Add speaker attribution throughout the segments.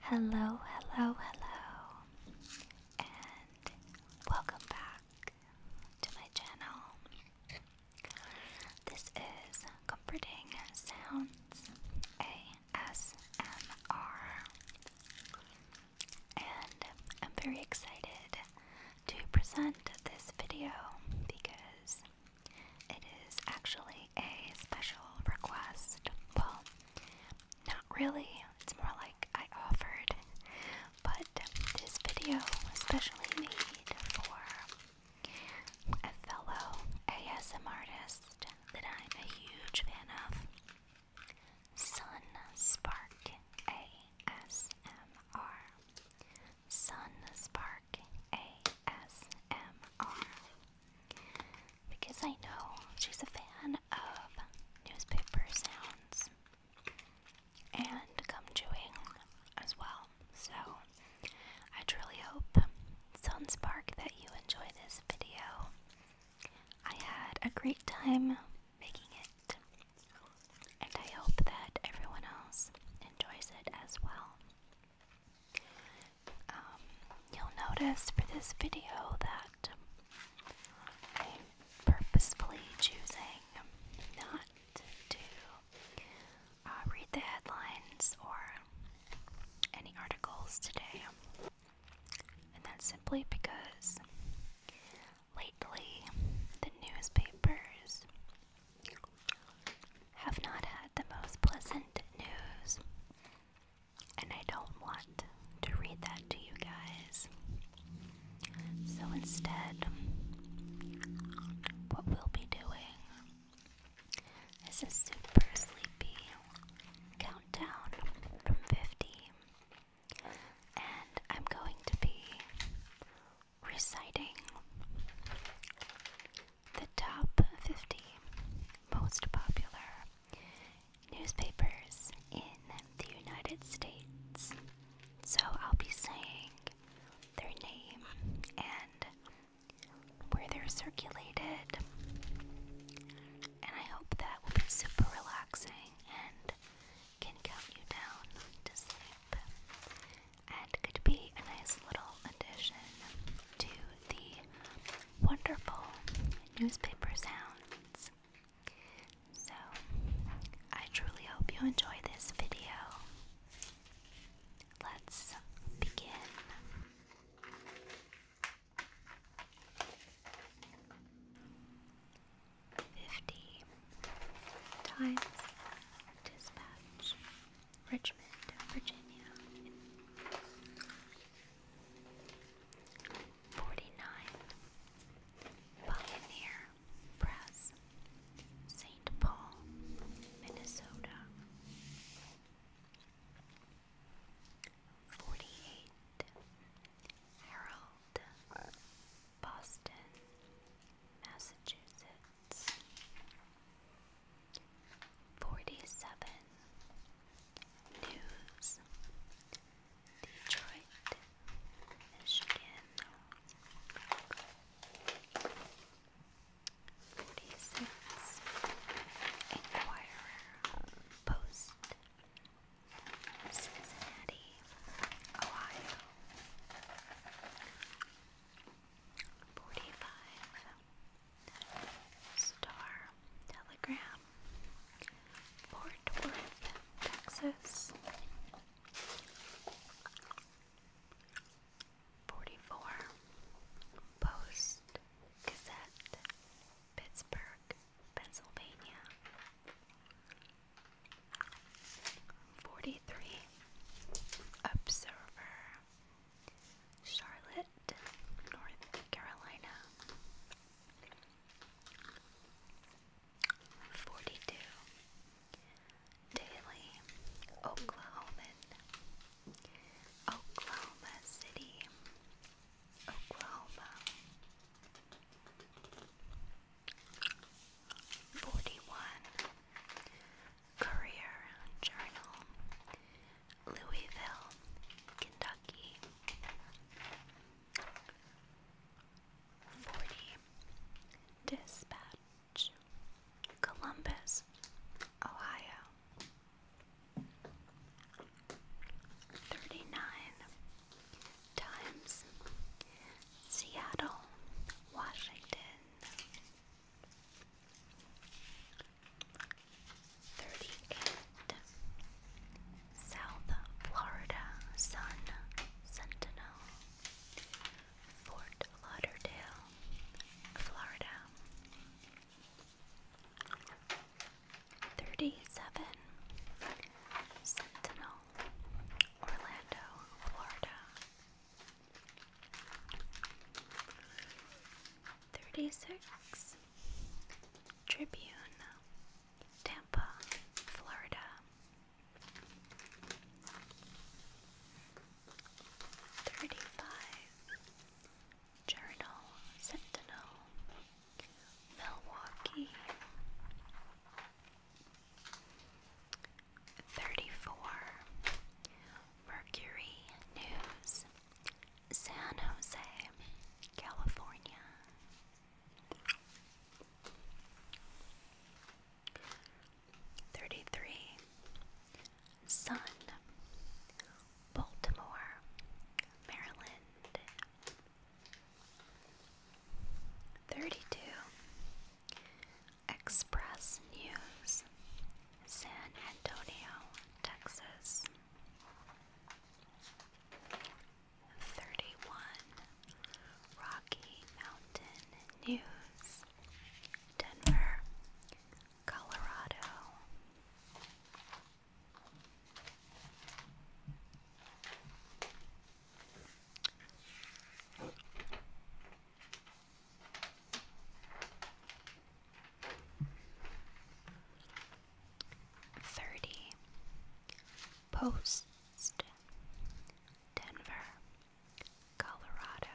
Speaker 1: Hello, hello, hello, and welcome back to my channel. This is Comforting Sounds ASMR, and I'm very excited to present this video because it is actually a special request. Well, not really, it's more like I offered, but this video was specially made for a fellow ASM artist that I'm a huge fan of, Sun Spark ASMR. Sun Spark ASMR because I know she's a fan of newspaper sounds and come chewing as well. So I truly hope, sun spark, that you enjoy this video. I had a great time making it, and I hope that everyone else enjoys it as well. Um, you'll notice for this video that I'm purposefully choosing not to uh, read the headlines or any articles today, and that's simply because lately the newspapers have not had the most pleasant news and I don't want to read that to you guys. So instead, what we'll be doing is a super sleepy countdown from 50. And I'm going to be reciting the top 50 most popular newspapers in the United States. So I'll be saying their name and where they're circulated. And I hope that will be super relaxing and can calm you down to sleep. And could be a nice little addition to the wonderful newspaper sounds. So, I truly hope you enjoy this video. Let's begin. Fifty times dispatch. Richmond, Virginia. 49 Pioneer Press, St. Paul, Minnesota. 48 Herald, Boston, Massachusetts. Forty-seven News Detroit, Michigan. Forty-six Inquirer Post Cincinnati, Ohio. Forty-five Star Telegram, Port Worth, Texas. 44 Post Gazette, Pittsburgh, Pennsylvania. 43 Observer, Charlotte, North Carolina. 42. Daly, Oklahoman, Oklahoma City, Oklahoma. 41. Courier Journal, Louisville, Kentucky. 40. Dispatch. Columbus, Ohio. 39. Times. Seattle, Washington. 38 South Florida Sun Sentinel Fort Lauderdale, Florida 37 Sentinel Orlando, Florida 36 Tribune, Tampa, Florida. 35 Journal Sentinel, Milwaukee. 34 Mercury News, San Jose, California. Thirty three Sun Baltimore, Maryland. Thirty two Express News San Antonio, Texas. 31 Rocky Mountain News, Denver, Colorado. Thirty Post Denver, Colorado.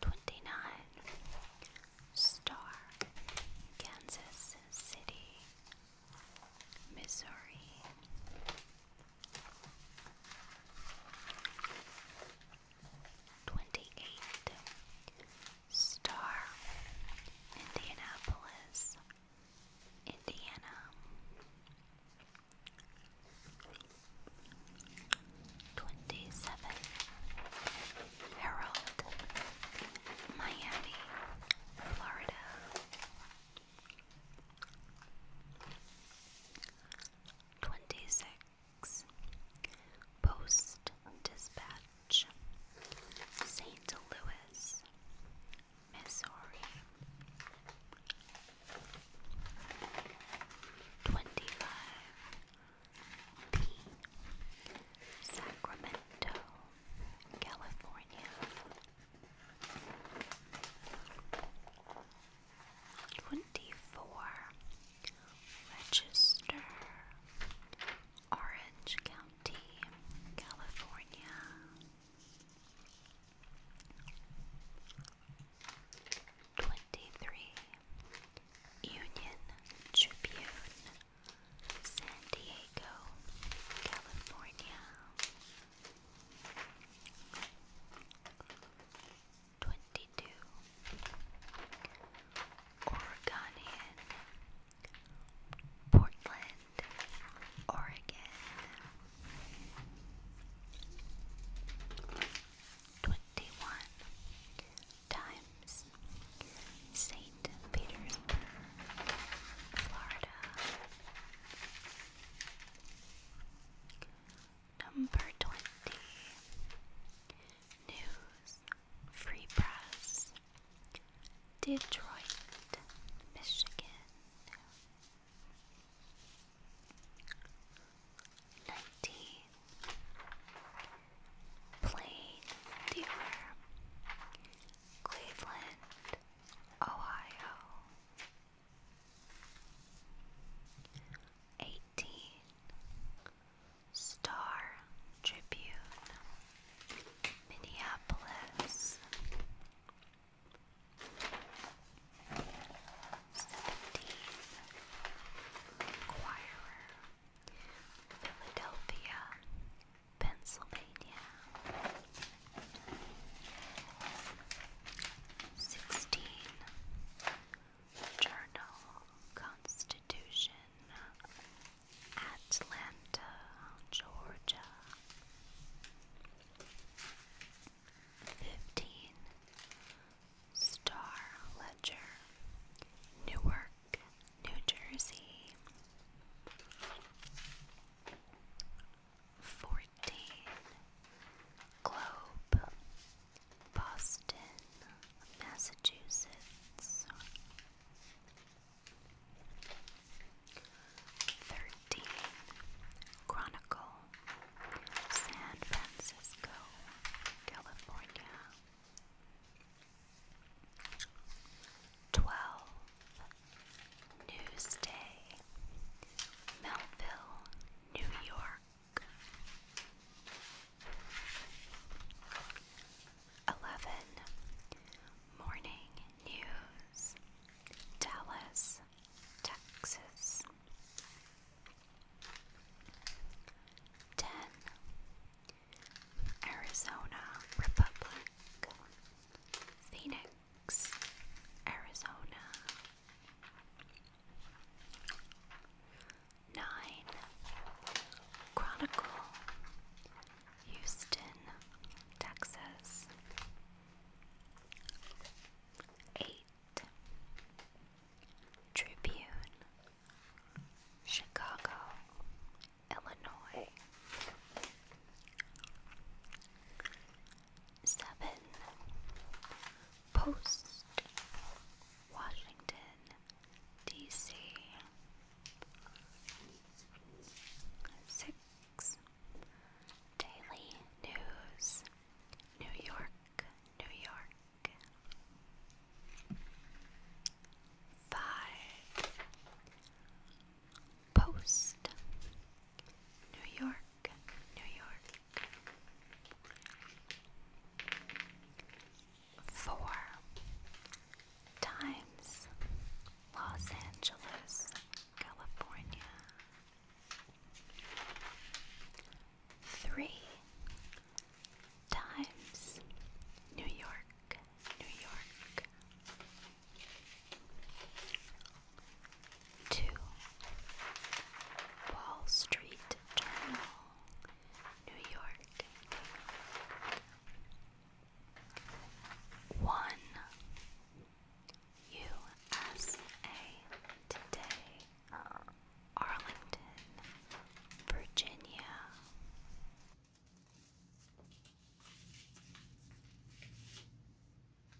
Speaker 1: Twenty nine Star, Kansas City, Missouri. 28 Star Indianapolis, Indiana. 27 Herald, Miami, Florida. 26. Post Dispatch, St. Louis, Missouri. 25. P. Sacramento, California. Twenty-four Register Orange County, California. Twenty-three Union Tribune, San Diego, California. Twenty-two Oregonian Portland, Oregon Twenty-one Times Saint Petersburg, Florida Number 20 News Free Press Detroit, Michigan 19 Plain Dealer Cleveland, Ohio Eighteen Star Tribune, Minneapolis. Seventeen Philadelphia, Pennsylvania. Sixteen Journal Constitution Atlanta, Georgia. Fifteen Star Ledger Newark, New Jersey fourteen Globe, Boston, Massachusetts. Thirteen Chronicle, San Francisco, California. Twelve Newsday, Melville, New York. 11. Morning News, Dallas, Texas. 10. Arizona Republic, Phoenix. Arizona. Nine Chronicle, Houston, Texas. Eight Tribune, Chicago, Illinois seven Post, Washington, D.C. Six Daily News, New York, New York. Five Post. New York, New York. Four times Los Angeles, California. Three times New York, New York. 2. Wall Street Journal, New York, 1. USA Today, Arlington, Virginia.